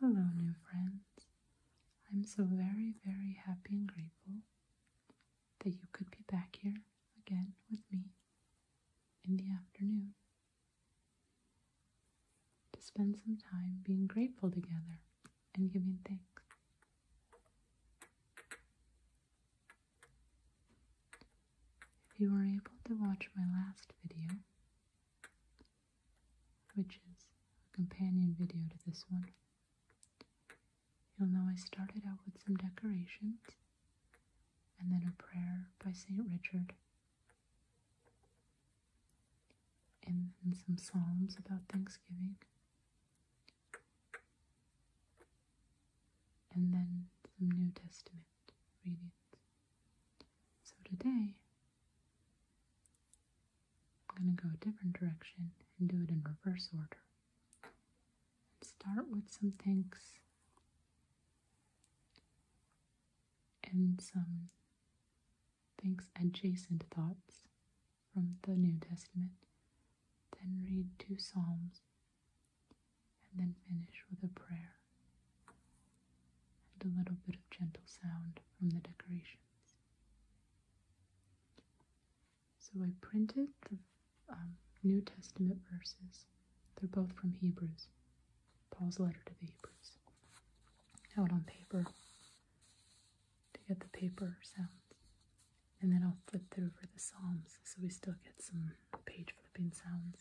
Hello, new friends. I'm so very, very happy and grateful that you could be back here again with me in the afternoon to spend some time being grateful together and giving thanks. If you were able to watch my last video, which is a companion video to this one, you'll know I started out with some decorations and then a prayer by St. Richard and, then some psalms about Thanksgiving and then some New Testament readings. So today, I'm going to go a different direction and do it in reverse order. And start with some thanks and some thanks adjacent thoughts from the New Testament. Then read two Psalms and then finish with a prayer and a little bit of gentle sound from the decorations. So I printed the um, New Testament verses. They're both from Hebrews, Paul's letter to the Hebrews, out on paper to get the paper sounds. And then I'll flip through for the Psalms so we still get some page flipping sounds.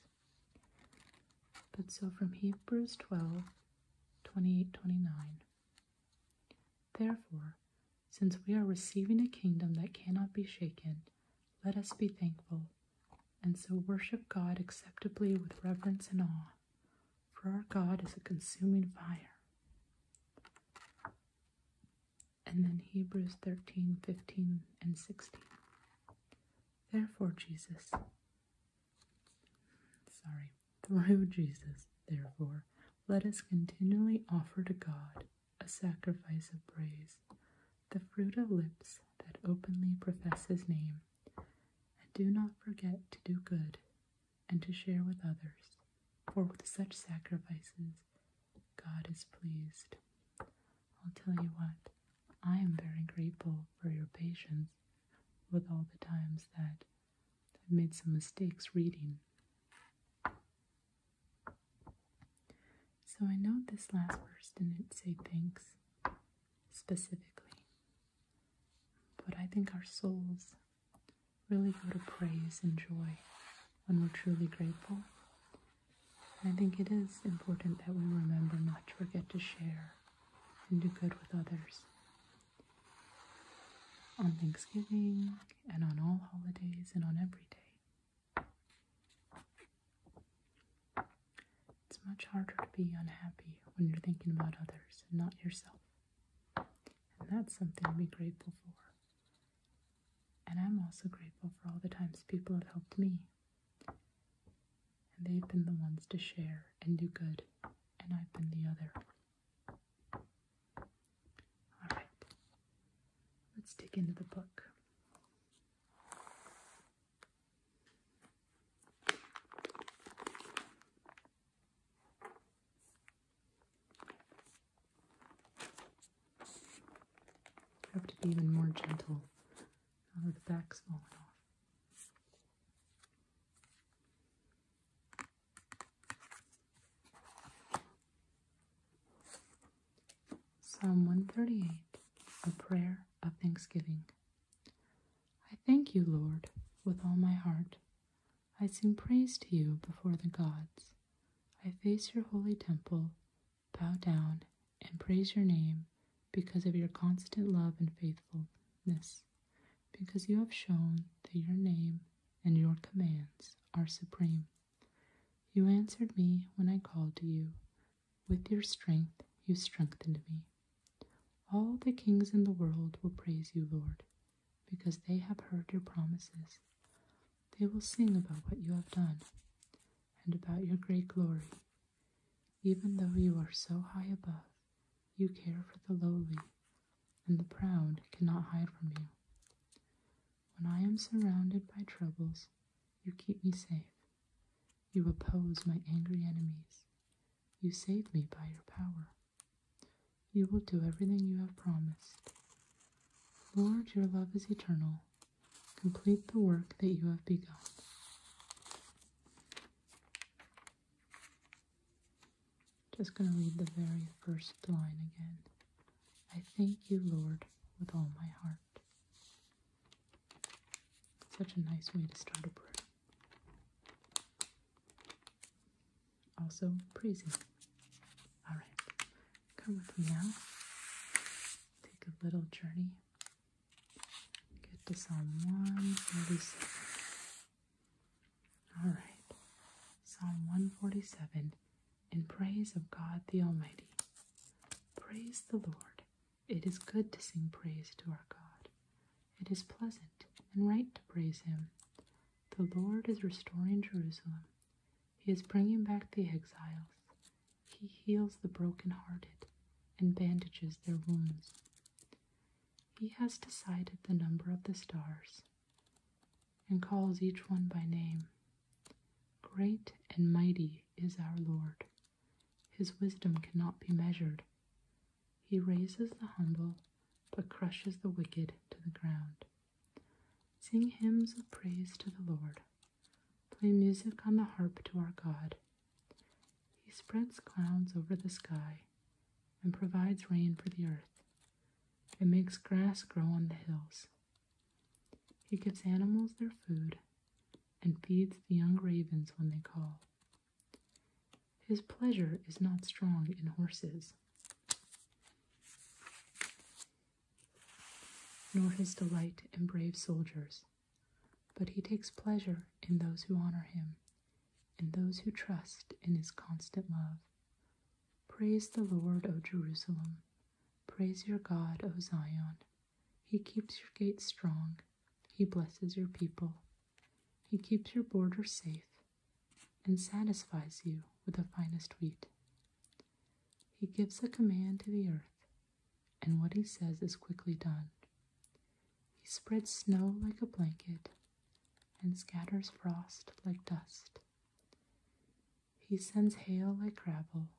But so from Hebrews 12 28 29. Therefore, since we are receiving a kingdom that cannot be shaken, let us be thankful and so worship God acceptably with reverence and awe, for our God is a consuming fire and then Hebrews 13, 15, and 16. Therefore, Jesus, sorry, through Jesus, therefore, let us continually offer to God a sacrifice of praise, the fruit of lips that openly profess his name. And do not forget to do good and to share with others, for with such sacrifices God is pleased. I'll tell you what, I am very grateful for your patience with all the times that I've made some mistakes reading. So I know this last verse didn't say thanks specifically, but I think our souls really go to praise and joy when we're truly grateful. I think it is important that we remember not to forget to share and do good with others. On Thanksgiving and on all holidays and on every day. It's much harder to be unhappy when you're thinking about others and not yourself. And that's something to be grateful for. And I'm also grateful for all the times people have helped me. And they've been the ones to share and do good, and I've been the other. Alright, let's dig into the book. Have to be even more gentle now that the back's falling off. Psalm 138, a prayer of thanksgiving. I thank you, Lord, with all my heart. I sing praise to you before the gods. I face your holy temple bow down, and praise your name because of your constant love and faithfulness, because you have shown that your name and your commands are supreme. You answered me when I called to you. With your strength, you strengthened me. All the kings in the world will praise you, Lord, because they have heard your promises. They will sing about what you have done and about your great glory. Even though you are so high above, you care for the lowly, and the proud cannot hide from you. When I am surrounded by troubles, you keep me safe. You oppose my angry enemies. You save me by your power. You will do everything you have promised. Lord, your love is eternal, Complete the work that you have begun. Just going to read the very first line again. I thank you, Lord, with all my heart. Such a nice way to start a prayer. Also, praising. All right, come with me now. Take a little journey. Get this on 147. All right. Psalm 147 in praise of God the Almighty. Praise the Lord. It is good to sing praise to our God. It is pleasant and right to praise Him. The Lord is restoring Jerusalem. He is bringing back the exiles. He heals the broken-hearted and bandages their wounds. He has decided the number of the stars and calls each one by name. Great and mighty is our Lord. His wisdom cannot be measured. He raises the humble, but crushes the wicked to the ground. Sing hymns of praise to the Lord, Play music on the harp to our God. He spreads clouds over the sky and provides rain for the earth and makes grass grow on the hills. He gives animals their food and feeds the young ravens when they call. His pleasure is not strong in horses nor his delight in brave soldiers, but he takes pleasure in those who honor him, in those who trust in his constant love. Praise the Lord, O Jerusalem. Praise your God, O Zion. He keeps your gates strong. He blesses your people. He keeps your borders safe and satisfies you with the finest wheat. He gives a command to the earth, and what he says is quickly done. He spreads snow like a blanket and scatters frost like dust. He sends hail like gravel.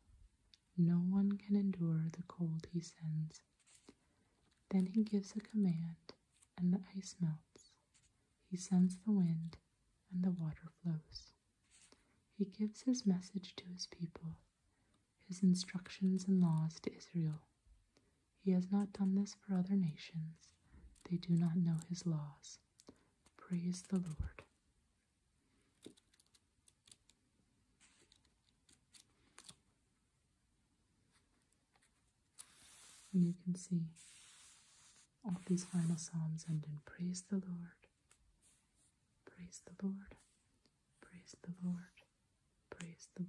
No one can endure the cold he sends. Then he gives a command, and the ice melts. He sends the wind, and the water flows. He gives his message to his people, his instructions and laws to Israel. He has not done this for other nations. They do not know his laws. Praise the Lord. you can see all these final Psalms end in Praise the Lord. Praise the Lord. Praise the Lord. Praise the Lord.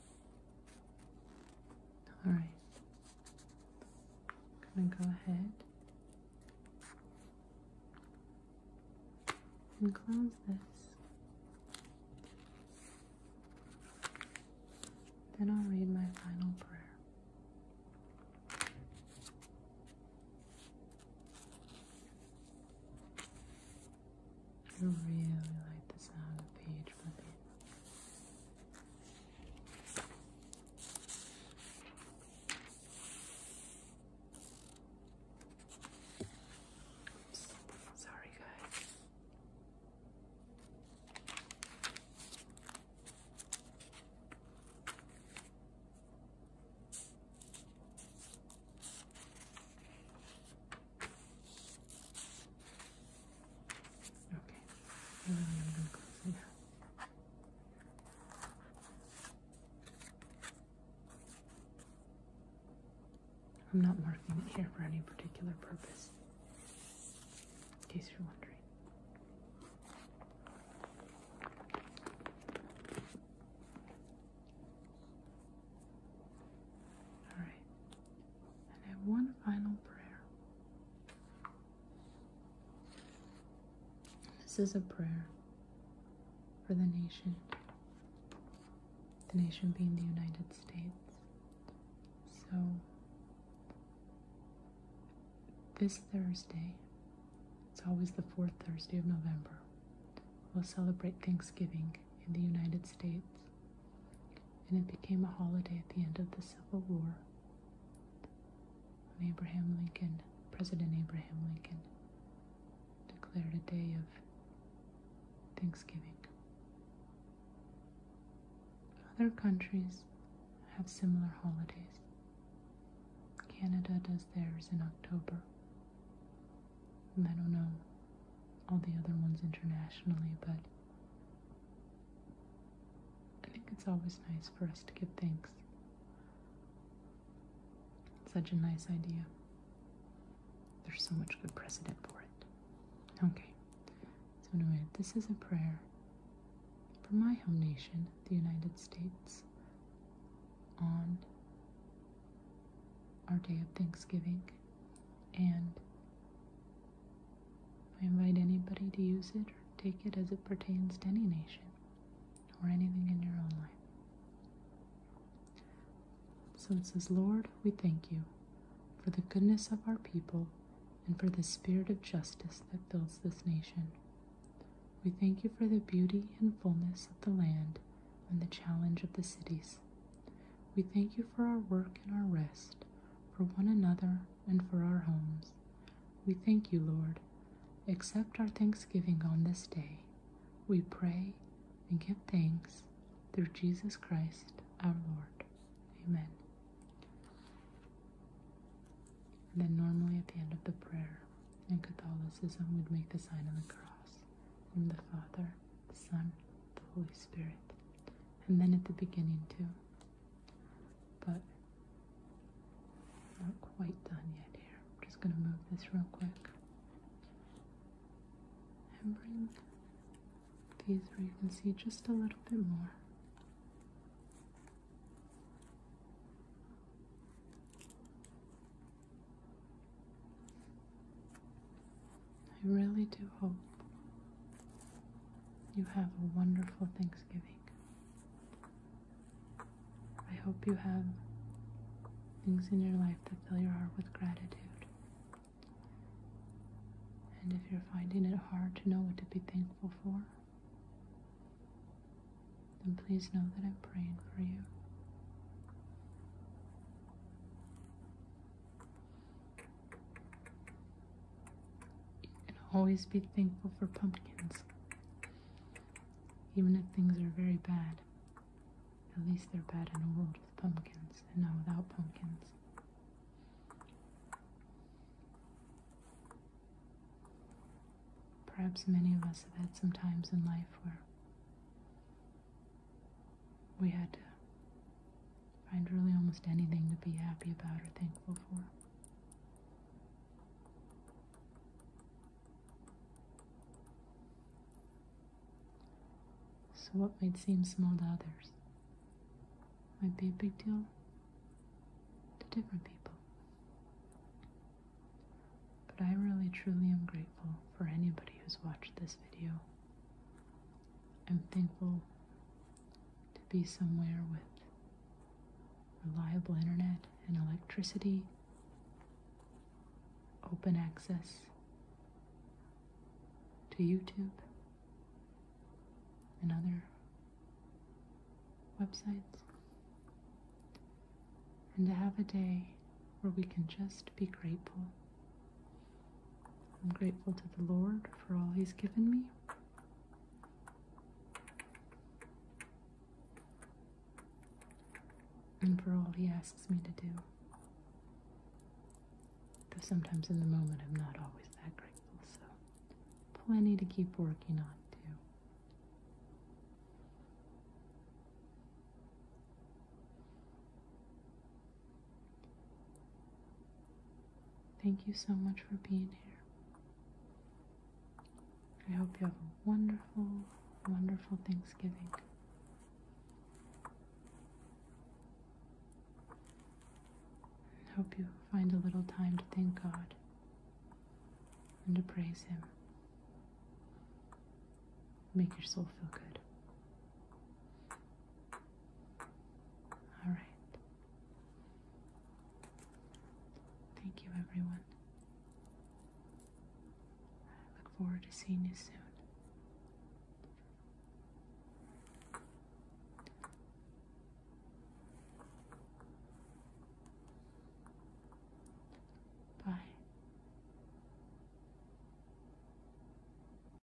All right. I'm going to go ahead and close this. Then I'll read my final prayer. I really like the sound of page flipping. sorry guys. Okay, I'm I'm not marking it here for any particular purpose, in case you're wondering. All right and have one final prayer. This is a prayer for the nation, the nation being the United States. So, this Thursday, it's always the fourth Thursday of November, we'll celebrate Thanksgiving in the United States and it became a holiday at the end of the Civil War when Abraham Lincoln, President Abraham Lincoln, declared a day of Thanksgiving. Other countries have similar holidays. Canada does theirs in October. I don't know all the other ones internationally, but I think it's always nice for us to give thanks. such a nice idea. There's so much good precedent for it. Okay, so anyway, this is a prayer for my home nation, the United States, on our day of Thanksgiving and I invite anybody to use it or take it as it pertains to any nation or anything in your own life. So it says, Lord, we thank you for the goodness of our people and for the spirit of justice that fills this nation. We thank you for the beauty and fullness of the land and the challenge of the cities. We thank you for our work and our rest, for one another, and for our homes. We thank you, Lord. Accept our thanksgiving on this day. We pray and give thanks through Jesus Christ our Lord. Amen. then, normally at the end of the prayer in Catholicism, we'd make the sign of the cross. In the Father, the Son, the Holy Spirit and then at the beginning too. But not quite done yet here. I'm just gonna move this real quick and bring these where you can see just a little bit more. I really do hope you have a wonderful Thanksgiving. I hope you have things in your life that fill your heart with gratitude. And if you're finding it hard to know what to be thankful for, then please know that I'm praying for you. And always be thankful for pumpkins. Even if things are very bad, at least they're bad in a world with pumpkins and not without pumpkins. Perhaps many of us have had some times in life where we had to find really almost anything to be happy about or thankful for. So, what might seem small to others might be a big deal to different people. But I really truly am grateful for anybody who's watched this video I'm thankful to be somewhere with reliable internet and electricity, open access to YouTube and other websites, and to have a day where we can just be grateful I'm grateful to the Lord for all He's given me. And for all He asks me to do. Though sometimes in the moment I'm not always that grateful, so plenty to keep working on. too. Thank you so much for being here. I hope you have a wonderful, wonderful Thanksgiving. I hope you find a little time to thank God and to praise Him. Make your soul feel good. All right. Thank you, everyone. look forward to seeing you soon. Bye.